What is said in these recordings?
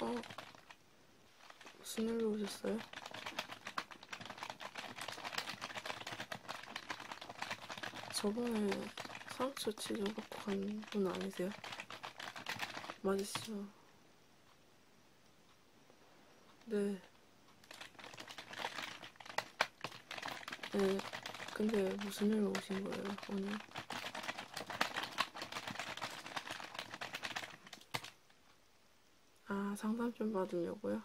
어, 무슨 일로 오셨어요? 저번에 상처 치료 받고 간 분 아니세요? 맞으시죠? 네. 네. 근데 무슨 일로 오신 거예요, 오늘? 아, 상담 좀 받으려고요?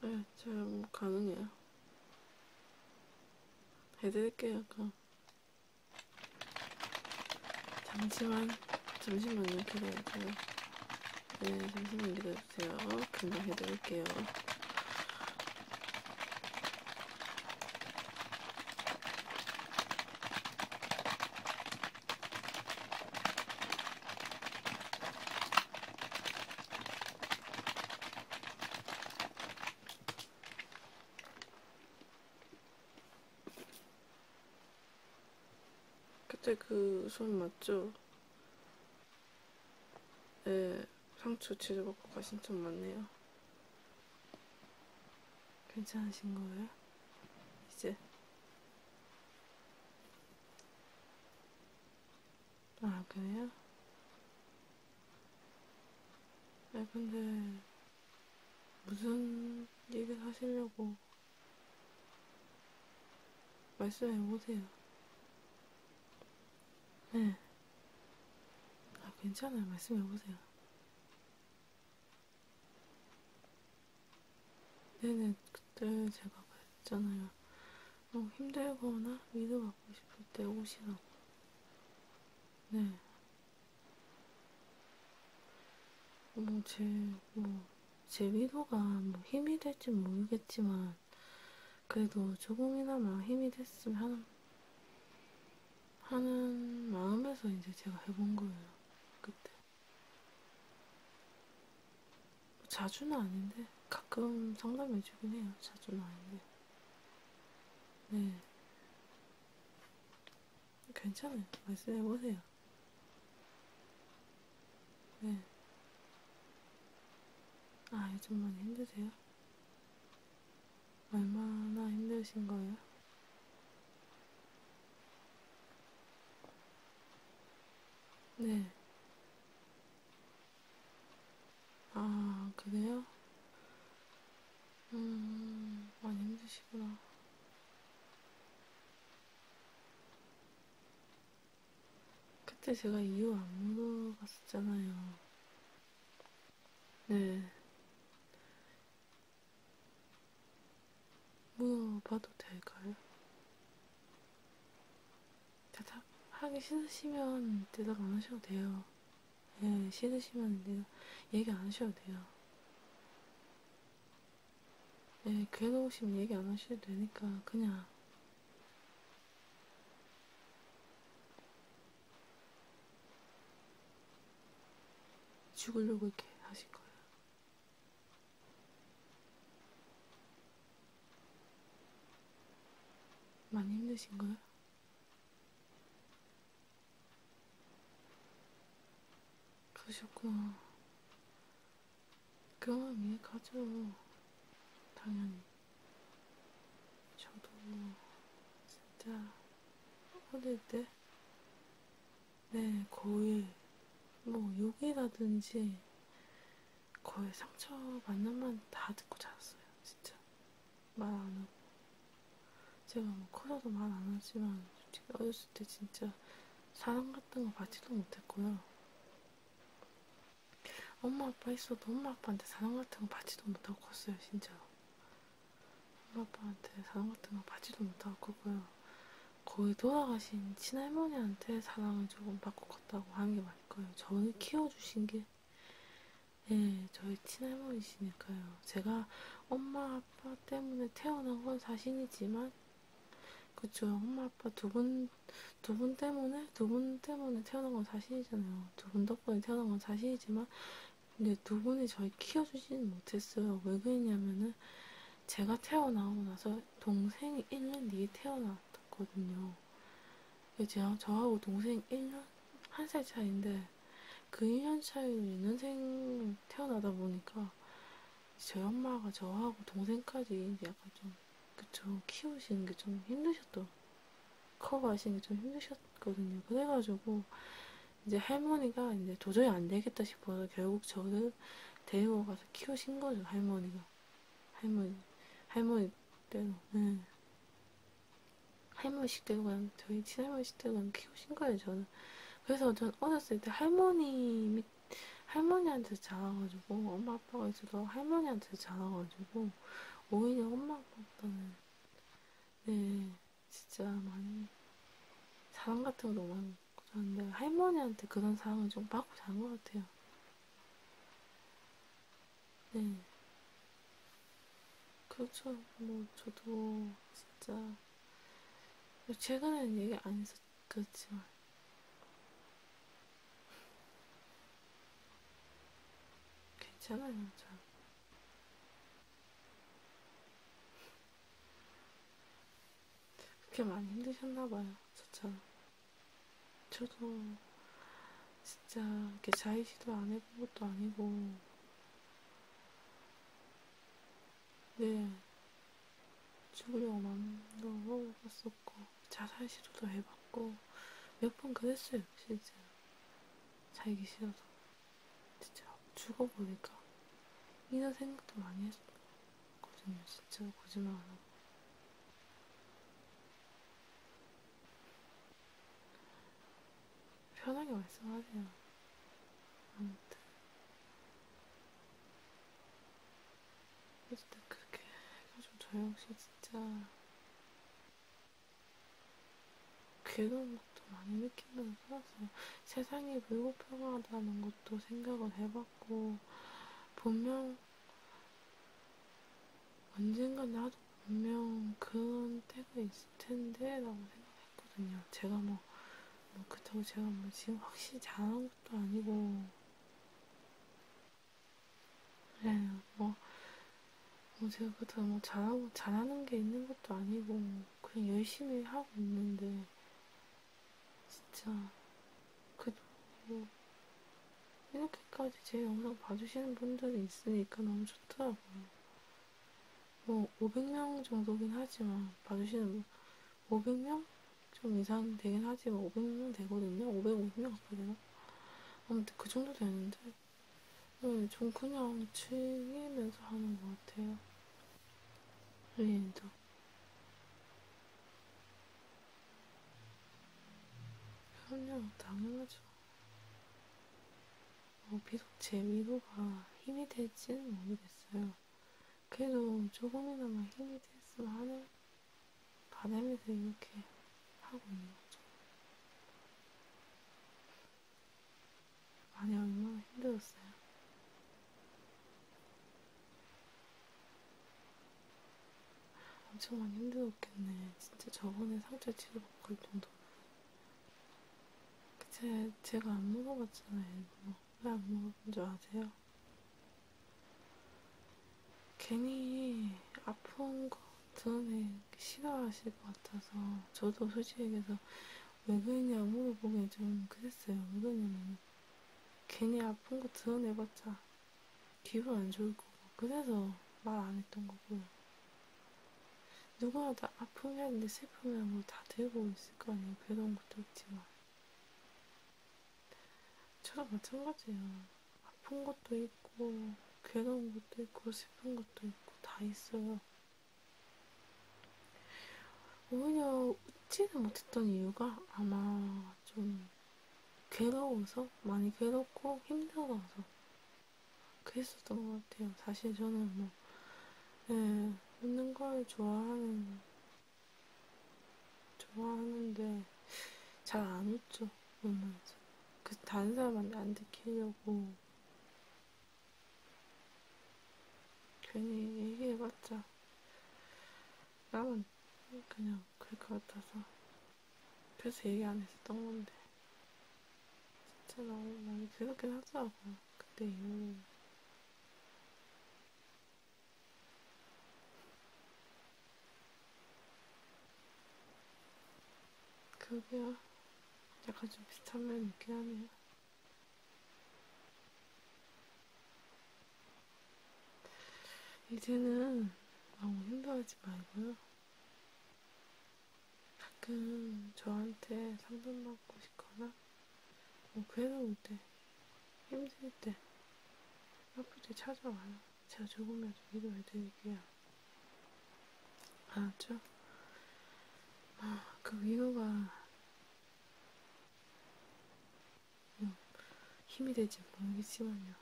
네, 제가 뭐 가능해요. 해드릴게요, 그럼. 잠시만, 잠시만요, 기다려주세요. 네, 잠시만 기다려주세요. 금방 해드릴게요. 그때 그 손 맞죠? 네, 상추 치즈볶음가 신청 맞네요. 괜찮으신 거예요? 이제 아, 그래요? 아, 근데, 무슨 일을 하시려고 말씀해보세요. 네. 아, 괜찮아요. 말씀해보세요. 네네, 그때 제가 그랬잖아요. 뭐 힘들거나 위로 받고 싶을 때 오시라고. 네. 뭐, 제, 뭐, 제 위로가 뭐 힘이 될지 모르겠지만, 그래도 조금이나마 힘이 됐으면 하는, 하는 마음에서 이제 제가 해본 거예요. 그때. 자주는 아닌데 가끔 상담해주긴 해요. 자주는 아닌데. 네. 괜찮아요. 말씀해보세요. 네. 아, 요즘 많이 힘드세요? 얼마나 힘드신 거예요? 네. 아, 그래요? 음, 많이 힘드시구나. 그때 제가 이유 안 물어봤었잖아요. 네. 물어봐도 뭐 될까요? 대답하기 싫으시면 대답 안 하셔도 돼요. 예, 싫으시면 내가 얘기 안 하셔도 돼요. 예, 괴로우시면 얘기 안 하셔도 되니까 그냥 죽으려고 이렇게 하실 거예요. 많이 힘드신가요? 그러셨구나. 그럼 이해가죠. 당연히. 저도 뭐, 진짜 어릴 때 네, 거의 뭐 욕이라든지 거의 상처 만남만 다 듣고 자랐어요. 진짜 말안 하고 제가 뭐 커서도 말 안 하지만 솔직히 어렸을 때 진짜 사랑 같은 거 받지도 못했고요. 엄마 아빠 있어도 엄마 아빠한테 사랑 같은 거 받지도 못하고 컸어요, 진짜. 엄마 아빠한테 사랑 같은 거 받지도 못할 거고요. 거의 돌아가신 친할머니한테 사랑을 조금 받고 갔다고 하는 게 맞을 거예요. 저는 키워주신 게 네, 저희 친할머니시니까요. 제가 엄마 아빠 때문에 태어난 건 사실이지만 그쵸 엄마 아빠 두분두분 두 분 때문에 두 분 때문에 태어난 건 사실이잖아요. 두 분 덕분에 태어난 건 사실이지만 근데 두 분이 저희 키워주지는 못했어요. 왜 그랬냐면은 제가 태어나고 나서 동생이 1년 뒤에 태어났거든요. 제가 저하고 동생 1년, 1살 차이인데 그 1년 차이로 인생 태어나다 보니까 저희 엄마가 저하고 동생까지 이제 약간 좀 그쵸 키우시는 게 좀 힘드셨던 커버하시는 게 좀 힘드셨거든요. 그래가지고 이제 할머니가 이제 도저히 안 되겠다 싶어서 결국 저를 데리고 가서 키우신 거죠, 할머니가. 할머니, 할머니 때로. 네. 할머니 식대로 그냥, 저희 친할머니 식대로 그냥 키우신 거예요, 저는. 그래서 전 어렸을 때 할머니, 할머니한테 자라가지고, 엄마 아빠가 있어서 할머니한테 자라가지고, 오히려 엄마 아빠보다는, 네. 진짜 많이 사랑 같은 거 너무 그런데 할머니한테 그런 사랑을 좀 받고 자는 것 같아요. 네. 그렇죠. 뭐 저도 진짜 최근에는 얘기 안 해서 그렇지만 괜찮아요. 참. 그렇게 많이 힘드셨나봐요, 저처럼. 저도 진짜 이렇게 자의시도 안 해본 것도 아니고, 네, 죽으려고 마음도 먹어봤었고, 자살 시도도 해봤고, 몇 번 그랬어요, 진짜. 자기 싫어서. 진짜 죽어보니까 이런 생각도 많이 했거든요. 진짜 거짓말 안 하고. 편하게 말씀하세요. 아무튼. 어쨌든 그렇게 해가지고 저 역시 진짜 걔도 막 것도 많이 느끼면서 살았어요. 세상이 불공평하다는 것도 생각을 해봤고, 분명, 언젠간 나도 분명 그런 때가 있을 텐데, 라고 생각했거든요. 제가 뭐, 뭐 그렇다고 제가 뭐 지금 확실히 잘하는 것도 아니고, 네, 뭐, 뭐 제가 그렇다고 뭐 잘하고, 잘하는 게 있는 것도 아니고, 그냥 열심히 하고 있는데 진짜 그래도 뭐 이렇게까지 제 영상 봐주시는 분들이 있으니까 너무 좋더라고요. 뭐 500명 정도긴 하지만 봐주시는 500명 좀 이상 되긴 하지만 500명 되거든요. 550명 가까이 되나? 아무튼 그 정도 되는데 네, 좀 그냥 즐기면서 하는 것 같아요. 레인도 그럼요 당연하죠 어, 비록 제 위로가 힘이 될지는 모르겠어요 그래도 조금이나마 힘이 됐으면 하는 바람에서 이렇게 하고 있는 거죠 많이 얼마나 힘들었어요. 엄청 많이 힘들었겠네. 진짜 저번에 상처 치료받고 할 정도. 그 제, 제가 안 물어봤잖아요. 뭐, 왜안 물어본 줄 아세요? 괜히 아픈 거 드러내기 싫어하실 것 같아서 저도 솔직히 얘기해서 왜 그랬냐 물어보긴 좀 그랬어요. 왜 그러냐면 괜히 아픈 거 드러내봤자 기분 안 좋을 거고 그래서 말 안 했던 거고요. 누구나 다 아프면 슬프면 뭐 다 들고 있을 거 아니에요. 괴로운 것도 있지만. 저도 마찬가지예요. 아픈 것도 있고 괴로운 것도 있고 슬픈 것도 있고 다 있어요. 오히려 웃지는 못했던 이유가 아마 좀 괴로워서 많이 괴롭고 힘들어서 그랬었던 것 같아요. 사실 저는 뭐 네, 웃는 걸 좋아하는 좋아하는데 잘 안 웃죠. 울면서 그 다른 사람한테 안 들키려고 괜히 얘기해봤자 남은 그냥 그럴 것 같아서 그래서 얘기 안 했었던 건데 진짜 너무 많이 들었긴 하더라고 그때 이후로 그게요 약간 좀 비슷한 면이 있긴 하네요 이제는 너무 힘들어하지 말고요. 가끔 저한테 상담받고 싶거나, 뭐, 괴로울 때, 네, 힘들 때, 아플 때 찾아와요. 제가 조금이라도 위로해드릴게요. 알았죠? 아, 그 위로가 음, 힘이 되지 모르겠지만요.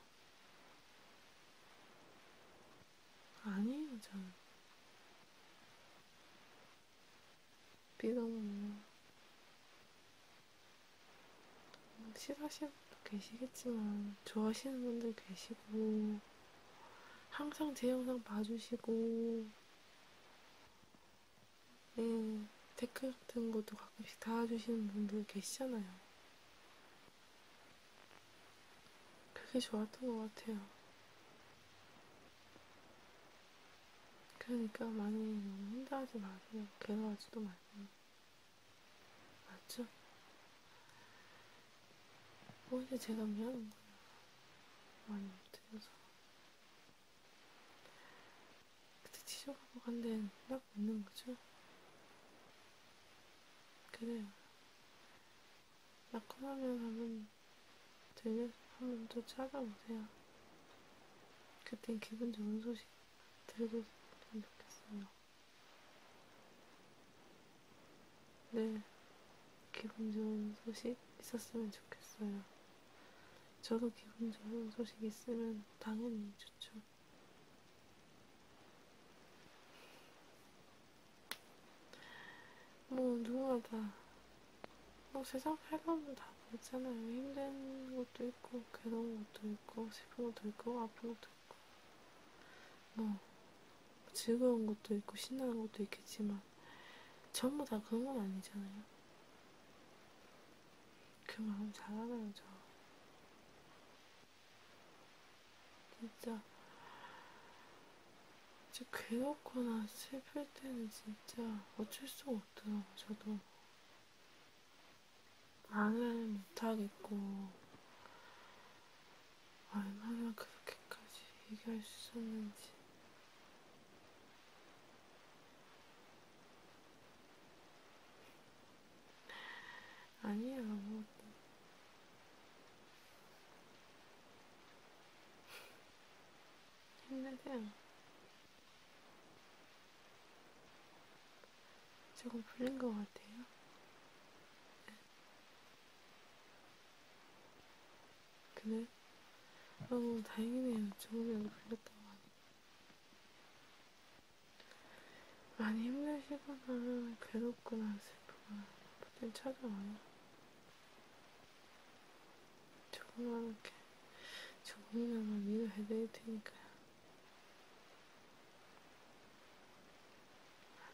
아니에요, 저는. 비가 오면 싫어하시는 분도 계시겠지만 좋아하시는 분들 계시고 항상 제 영상 봐주시고 음, 댓글 같은 것도 가끔씩 달아주시는 분들 계시잖아요. 그게 좋았던 것 같아요. 그러니까 많이 너무 힘들어하지 마세요. 괴로워하지도 마세요. 맞죠? 오히려 뭐 제가 미안한 거예요. 많이. 같아서. 그때 티셔츠하고 간 데는 딱 없는 거죠? 그래요. 낙하하면 한번 들려, 한번 더 찾아보세요. 그땐 기분 좋은 소식 들려줬으면 좋겠어요. 네, 기분 좋은 소식 있었으면 좋겠어요. 저도 기분 좋은 소식 있으면 당연히 좋죠. 뭐 누구나 다뭐 세상 살가운 다 그렇잖아요. 힘든 것도 있고 괴로운 것도 있고 슬픈 것도 있고 아픈 것도 있고 뭐 즐거운 것도 있고 신나는 것도 있겠지만 전부 다 그런 건 아니잖아요. 그 마음 잘 알아요, 저. 진짜 진짜 괴롭거나 슬플 때는 진짜 어쩔 수가 없더라고요, 저도. 말을 못하겠고 얼마나 그렇게까지 얘기할 수 있었는지 아니야, 아무것도. 뭐. 힘내세요. 조금 풀린 것 같아요. 네. 그래? 어, 다행이네요. 저번에도 걸렸다고 하니. 많이 힘드시거나 괴롭거나 슬프거나 그땐 찾아와요. 조그맣게 조금이나마 위로해드릴 테니까요.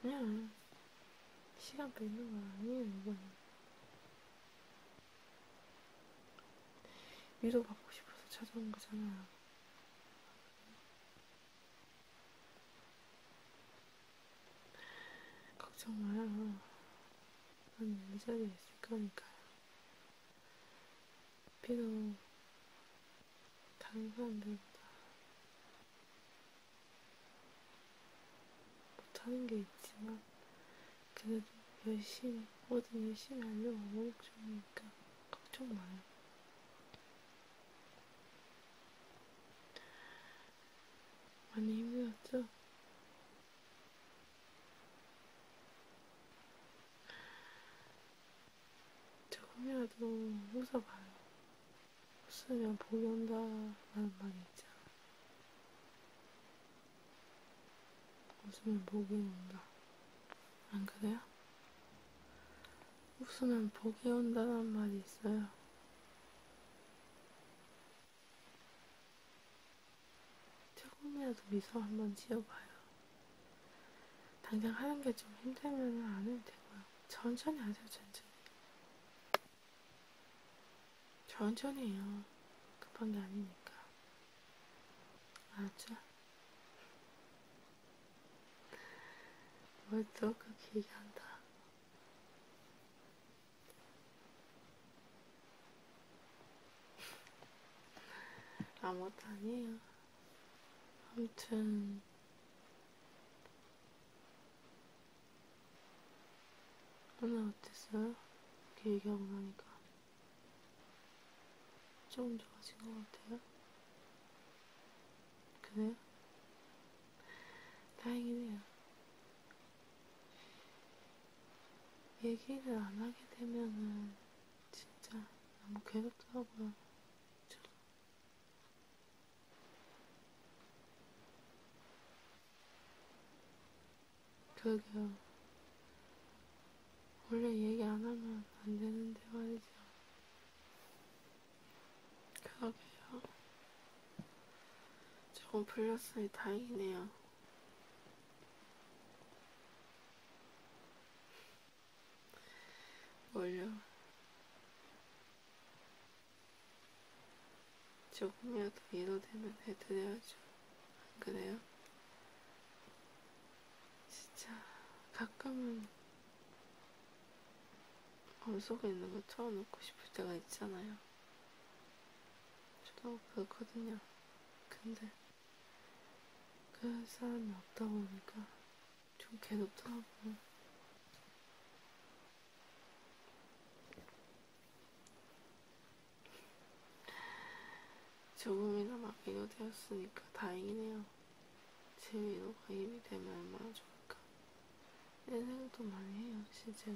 아니야. 시간 뺏는 거 아니에요, 이건. 위로 받고 싶어서 찾아온 거잖아요. 걱정 마요. 난이 자리에 있을 거니까요. 비록 다른 사람들보다 못하는 게 있지만 그래도 열심히 뭐든 열심히 하려고 노력중이니까 걱정 마요. 많이 힘들었죠? 조금이라도 웃어봐요. 쓰면 복이 온다라는 말이 있잖아. 웃으면 복이 온다. 안 그래요? 웃으면 복이 온다는 말이 있어요. 조금이라도 미소 한 번 지어봐요. 당장 하는 게 좀 힘들면 안 해도 되고요. 천천히 하세요, 천천히. 천천히 해요. 급한 게 아니니까. 알았죠? 뭘또 그렇게 얘기한다. 아무것도 아니에요. 아무튼 오늘 어땠어요? 이렇게 얘기하고 나니까 조금 좋아진 것 같아요? 그래요? 다행이네요. 얘기를 안 하게 되면은 진짜 너무 괴롭더라고요. 저도. 그러게요. 원래 얘기 안 하면 안 되는데 말이죠. 그러게요. 조금 풀렸으니 다행이네요. 뭘요? 조금이라도 위로되면 해드려야죠. 안 그래요? 진짜 가끔은 엄속에 있는 거 털어놓고 싶을 때가 있잖아요. 저도 그렇거든요. 근데 그 사람이 없다 보니까 좀 괴롭더라고요. 조금이나마 위로되었으니까 다행이네요. 제 위로가 힘이 되면 얼마나 좋을까. 내 생각도 많이 해요, 실제로.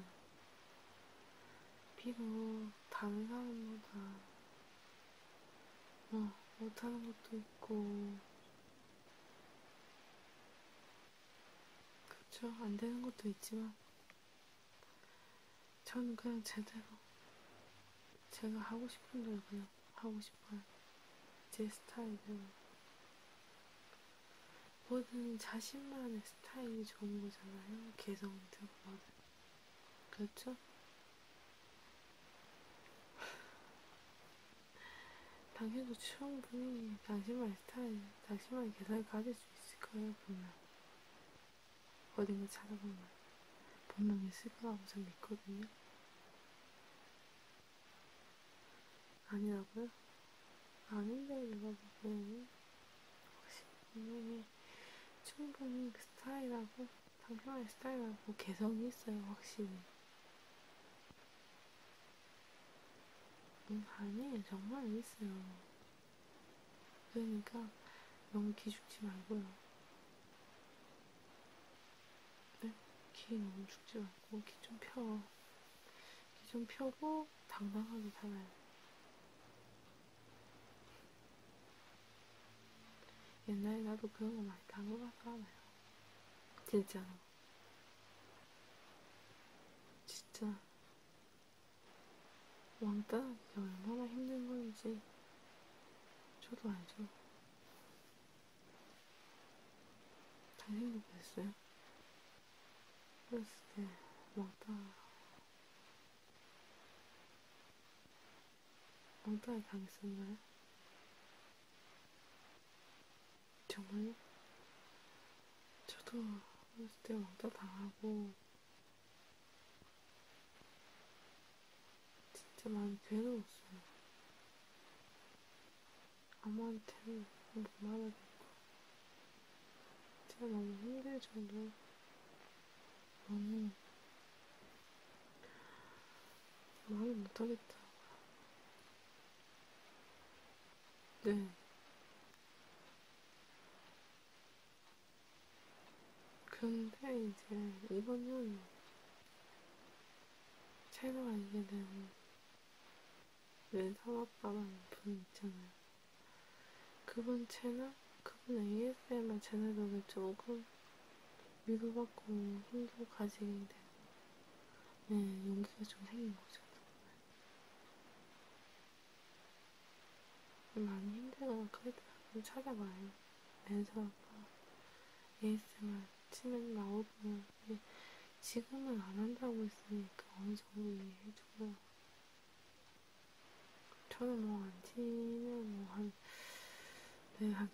비록 다른 사람보다 뭐 못하는 것도 있고 그렇죠. 안 되는 것도 있지만 저는 그냥 제대로 제가 하고 싶은 대로 그냥 하고 싶어요. 제 스타일대로. 뭐든 자신만의 스타일이 좋은 거잖아요. 개성도 뭐든. 그렇죠? 당신도 충분히 당신만 당신만의 스타일, 당신만의 계산을 가질 수 있을 거예요, 분명. 어딘가 찾아보면 분명 있을 거라고 전 믿거든요. 아니라고요? 아닌데, 내가 보기에는. 네. 확실히 분명히 충분히 그 스타일하고, 당신만의 스타일하고 개성이 있어요, 확실히. 음, 아니, 정말 있어요. 그러니까 너무 기죽지 말고요. 네? 기 너무 죽지 말고 기 좀 펴. 기 좀 펴고 당당하게 살아요. 옛날에 나도 그런 거 많이 당해봐서 알아요. 진짜로. 진짜 왕따하기가 얼마나 힘든 건지 저도 알죠. 잘생겼어요. 그랬을 때 왕따 왕따에 당했었나요? 정말 저도 어렸을 때 왕따 당하고 진짜 많이 괴로웠어요. 아무한테는 못 말하겠고 제가 너무 힘들 정도 너무 말을 못하겠더라고요. 네. 근데 이제 이번년 새로 알게 된내 사업가라는 분 있잖아요. 그분 채널, 그분 ASMR 채널도 조금 위로받고 힘도 가지게 된 네, 용기가 좀 생긴 거죠. 많이 힘들거나 그랬더라면 찾아봐요. 랜서가 ASMR 치면 나오고 지금은 안 한다고 했으니까 어느 정도 이해해주고요. 저는 뭐 안 치면 뭐한 네, 한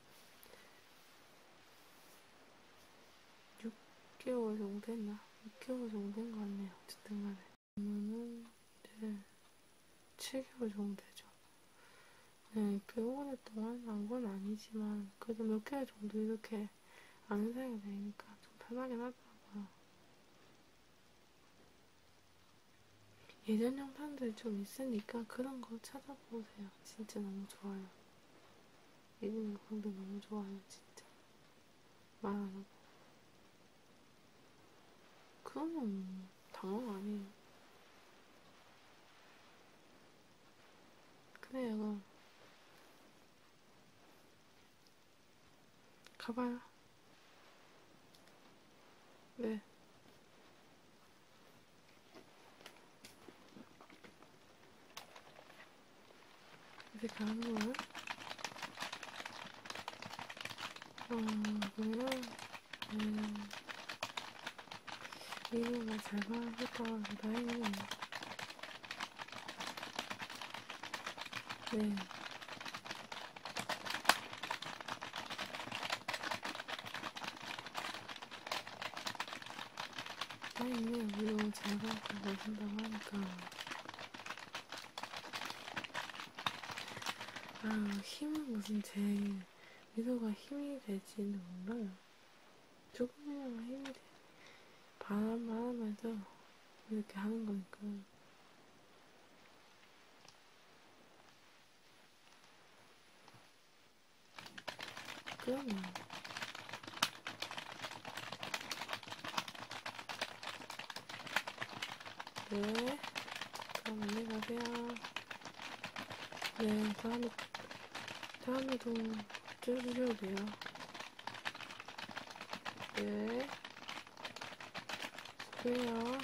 6개월 정도 했나? 6개월 정도 된것 같네요. 어쨌든 간에. 그러면은, 네, 7개월 정도 되죠. 네, 꽤 오래 동안 안건 아니지만, 그래도 몇 개월 정도 이렇게 아는 사람이 되니까 좀 편하긴 하더라고요. 예전 영상들이 좀 있으니까 그런 거 찾아보세요. 진짜 너무 좋아요. 얘는 근데 너무 좋아요, 진짜. 말 안 하고. 그건 당황 아니에요. 근데 얘가 가봐요. 네. 이제 가는 거야? 어, 그래요? 음, 이모가 잘 봐줄까 다행이네. 네. 아니, 물론 제가 그걸 준다고 하니까. 아, 힘은 무슨 제 미소가 힘이 되지는 몰라요. 조금이나마 힘이 돼. 바람만 하면서 이렇게 하는 거니까. 그럼요. 네, 그럼 안녕히 가세요. 네, 다음에, 다음에도 쪄주셔도 돼요. 네, 그래요.